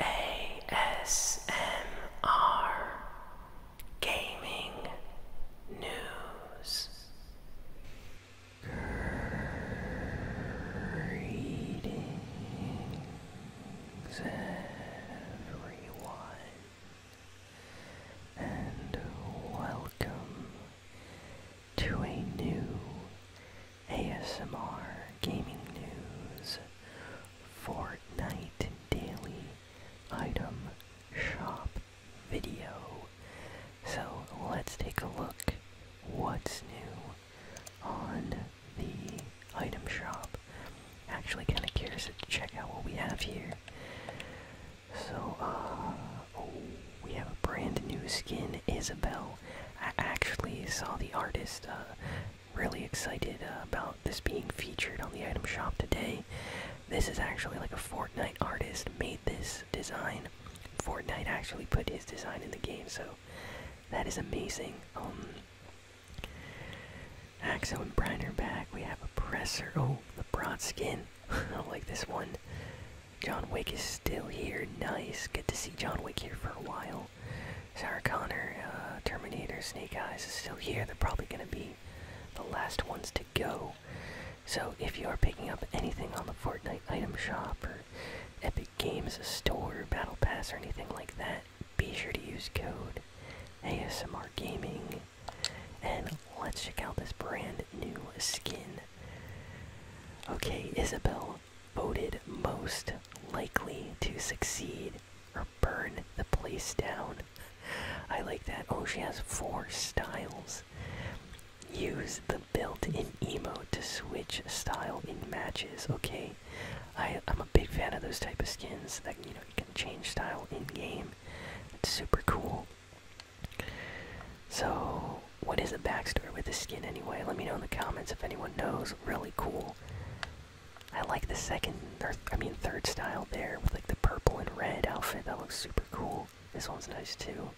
ASMR Gaming News Greetings, everyone, and welcome to a new ASMR Gaming News Fortnite Daily Item Shop video so let's take a look what's new on the item shop. Actually kind of curious to check out what we have here. So uh, oh, we have a brand new skin, Isabel. I actually saw the artist uh, really excited uh, about this being featured on the item shop today. This is actually like a Fortnite artist made this design. Fortnite actually put his design in the game, so that is amazing. Um, Axo and Brian back. We have a presser. Oh, the broad skin. I like this one. John Wick is still here. Nice. Good to see John Wick here for a while. Sarah Connor, uh, Terminator, Snake Eyes is still here. They're probably going to be the last ones to go. So if you are picking up anything on the Fortnite item shop or Epic Games store, Battle Pass, or anything like that, be sure to use code ASMR Gaming. And let's check out this brand new skin. Okay, Isabel voted most likely to succeed or burn the place down. I like that. Oh, she has four styles. Use the built-in emote to switch style in matches. Okay, I, I'm a big fan of those type of skins that you know you can change style in game. It's super cool. So, what is the backstory with the skin anyway? Let me know in the comments if anyone knows. Really cool. I like the second, or I mean third style there with like the purple and red outfit. That looks super cool. This one's nice too.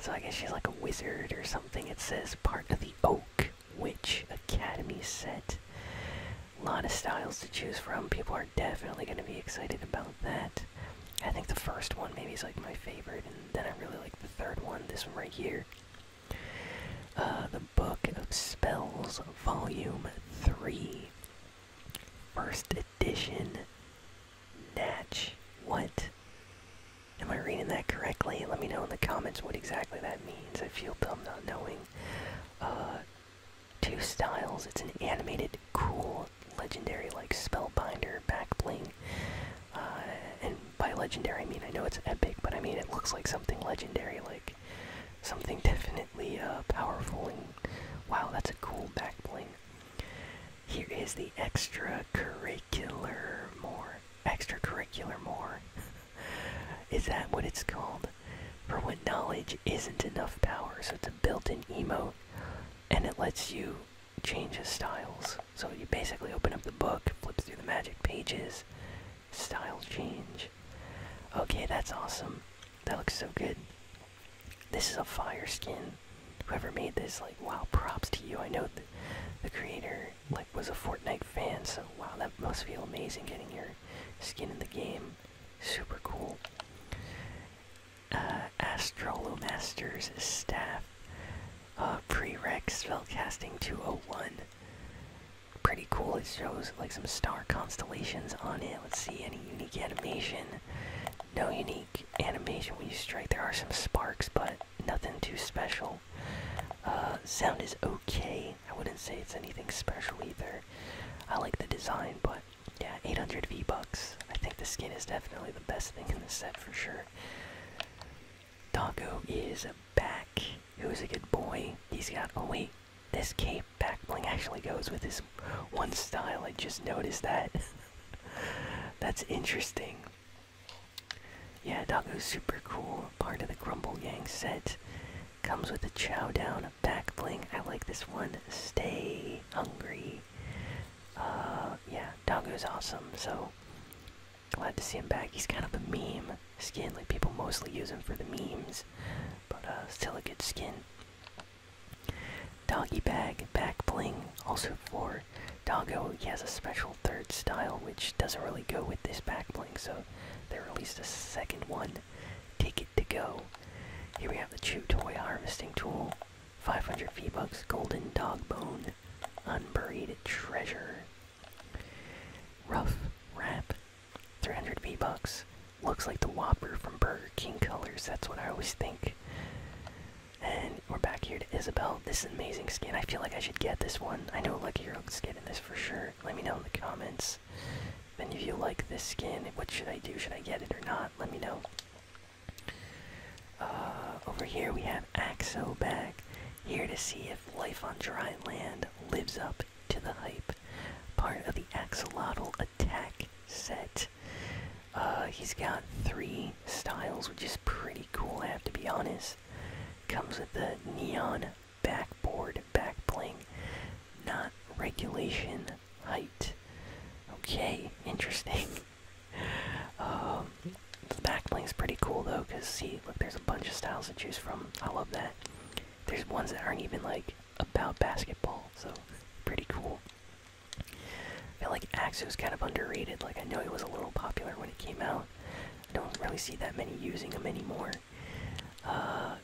So I guess she's like a wizard or something. It says part of the Oak Witch Academy set. A lot of styles to choose from. People are definitely going to be excited about that. I think the first one maybe is like my favorite, and then I really like the third one, this one right here. Uh, the Book of Spells, Volume Three, First Edition, Natch. What? Am I reading that correctly? Let me know in the comments what exactly that means. I feel dumb not knowing. Uh, two styles. It's an animated, cool, legendary like Spellbinder, Backbling. Uh, and by legendary, I mean I know it's epic, but I mean it looks like something legendary, like something definitely uh, powerful. And wow, that's a cool Backbling. Here is the extracurricular more. Extracurricular more. is that what it's called? For when knowledge isn't enough power. So it's a built in emote and it lets you change the styles. So you basically open up the book, flips through the magic pages, style change. Okay, that's awesome. That looks so good. This is a fire skin whoever made this, like, wow, props to you. I know the, creator, like, was a Fortnite fan, so wow, that must feel amazing getting your skin in the game. Super cool. Uh, Astrolo Masters Staff. Uh, Prereq Spellcasting 201. Pretty cool. It shows, like, some star constellations on it. Let's see, any unique animation. No unique animation when you strike. There are some sparks, but nothing too special. Uh, sound is okay. I wouldn't say it's anything special either. I like the design, but yeah, 800 V bucks. I think the skin is definitely the best thing in the set for sure. Doggo is back. He was a good boy. He's got. Oh wait, this cape back bling actually goes with this one style. I just noticed that. That's interesting. Yeah, Doggo's super cool. Part of the Grumble Gang set. Comes with a chow down, a back bling. I like this one. Stay hungry. Uh, yeah, Doggo's awesome. So glad to see him back. He's kind of a meme skin. Like people mostly use him for the memes, but uh, still a good skin. Doggy Bag Back Bling, also for Doggo. He has a special third style which doesn't really go with this back bling, so they released a second one. Take it to go. Here we have the Chew Toy Harvesting Tool, 500 V-Bucks, Golden Dog Bone, Unburied Treasure. Rough Wrap, 300 V-Bucks. Looks like the Whopper from Burger King colors, that's what I always think. And we're back here to Isabel. This is amazing skin. I feel like I should get this one. I know Lucky Rogue's getting this for sure. Let me know in the comments. Then if you like this skin, what should I do? Should I get it or not? Let me know. Uh, over here we have Axo back. Here to see if life on dry land lives up to the hype. Part of the Axolotl attack set. Uh, he's got three styles, which is pretty cool, I have to be honest. Comes with a neon backboard back not regulation height. Okay, interesting. um, the back bling's pretty cool though, because see, look, there's a bunch of styles to choose from. I love that. There's ones that aren't even like about basketball, so pretty cool. I feel like was kind of underrated. Like, I know he was a little popular when he came out. I don't really see that many using him anymore. Uh,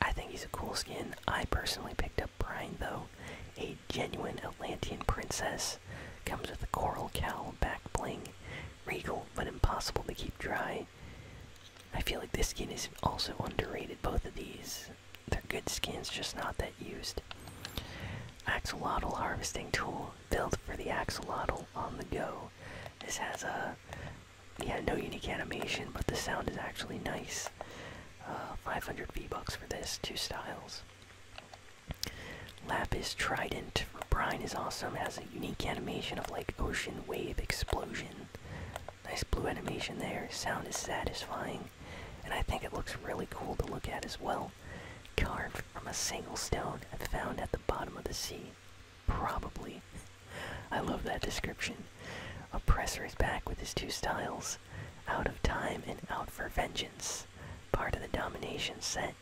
I think he's a cool skin. I personally picked up Brine, though. A genuine Atlantean princess. Comes with a coral cowl, back bling. Regal, but impossible to keep dry. I feel like this skin is also underrated, both of these. They're good skins, just not that used. Axolotl harvesting tool built for the axolotl on the go. This has a yeah no unique animation, but the sound is actually nice. Uh, 500 V bucks for this. Two styles. Lapis Trident for brine is awesome. Has a unique animation of like ocean wave explosion. Nice blue animation there. Sound is satisfying and I think it looks really cool to look at as well. Carved from a single stone and found at the bottom of the sea. Probably. I love that description. Oppressor is back with his two styles out of time and out for vengeance. Part of the domination set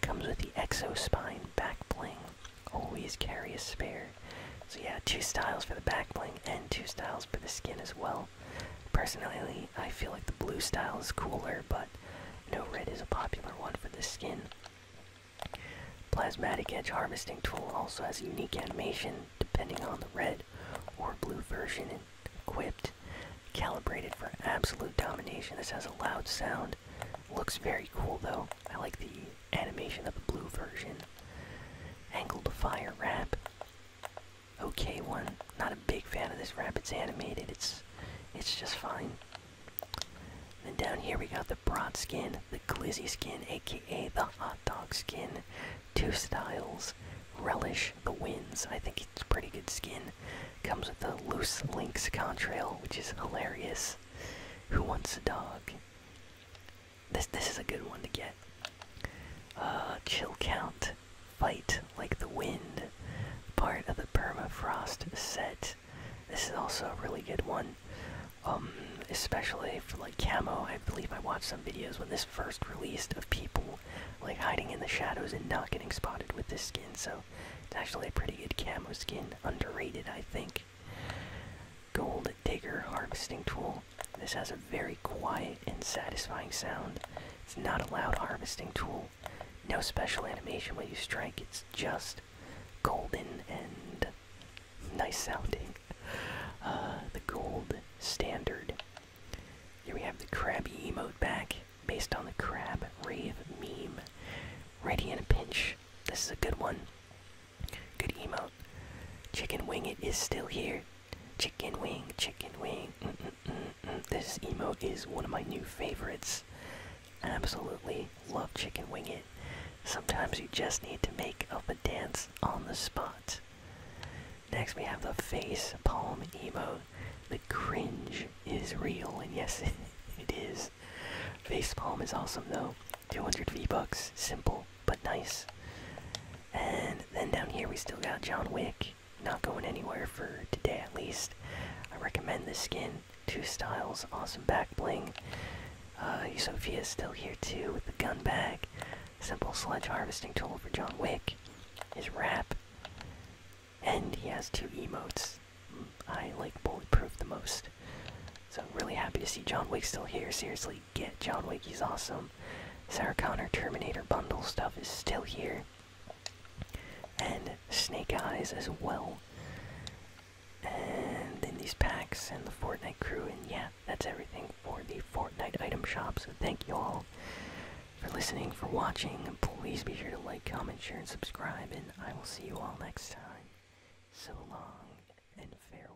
comes with the exospine back bling. Always carry a spare. So, yeah, two styles for the back bling and two styles for the skin as well. Personally, I feel like the blue style is cooler, but no red is a popular one for this skin. Plasmatic Edge Harvesting Tool also has unique animation depending on the red or blue version equipped. Calibrated for absolute domination, this has a loud sound. Looks very cool though. I like the animation of the blue version. Angled Fire Wrap okay one. Not a big fan of this Rapids animated. It's it's just fine. Then down here we got the broad skin, the glizzy skin, aka the hot dog skin. Two styles. Relish the winds. I think it's pretty good skin. Comes with the loose links contrail, which is hilarious. Who wants a dog? This this is a good one to get. Uh, chill count. Fight like the wind. Part of the permafrost set. This is also a really good one. Um, especially for like camo. I believe I watched some videos when this first released of people like hiding in the shadows and not getting spotted with this skin. So it's actually a pretty good camo skin. Underrated, I think. Gold digger harvesting tool. This has a very quiet and satisfying sound. It's not a loud harvesting tool. No special animation when you strike, it's just golden and nice sounding. Uh, the gold standard. Here we have the Krabby emote back, based on the Crab Rave meme. Ready in a pinch. This is a good one. Good emote. Chicken Wing It is still here. Chicken wing, chicken wing. Mm, mm, mm, this emo is one of my new favorites. Absolutely love chicken wing it. Sometimes you just need to make up a dance on the spot. Next, we have the face palm emo. The cringe is real, and yes, it is. Face palm is awesome though. 200 V bucks, simple but nice. And then down here we still got John Wick. Not going anywhere for today at least. I recommend this skin. Two styles, awesome back bling. Uh, Sophia is still here too with the gun bag. Simple sledge harvesting tool for John Wick. His wrap. And he has two emotes. Mm, I like bulletproof the most. So I'm really happy to see John Wick still here. Seriously, get John Wick. He's awesome um, Sarah Connor Terminator bundle stuff is still here. And Snake Eyes as well. And then these packs and the Fortnite crew. And yeah, that's everything for the Fortnite item shop. So thank you all for listening, for watching. Please be sure to like, comment, share, and subscribe. And I will see you all next time. So long and farewell.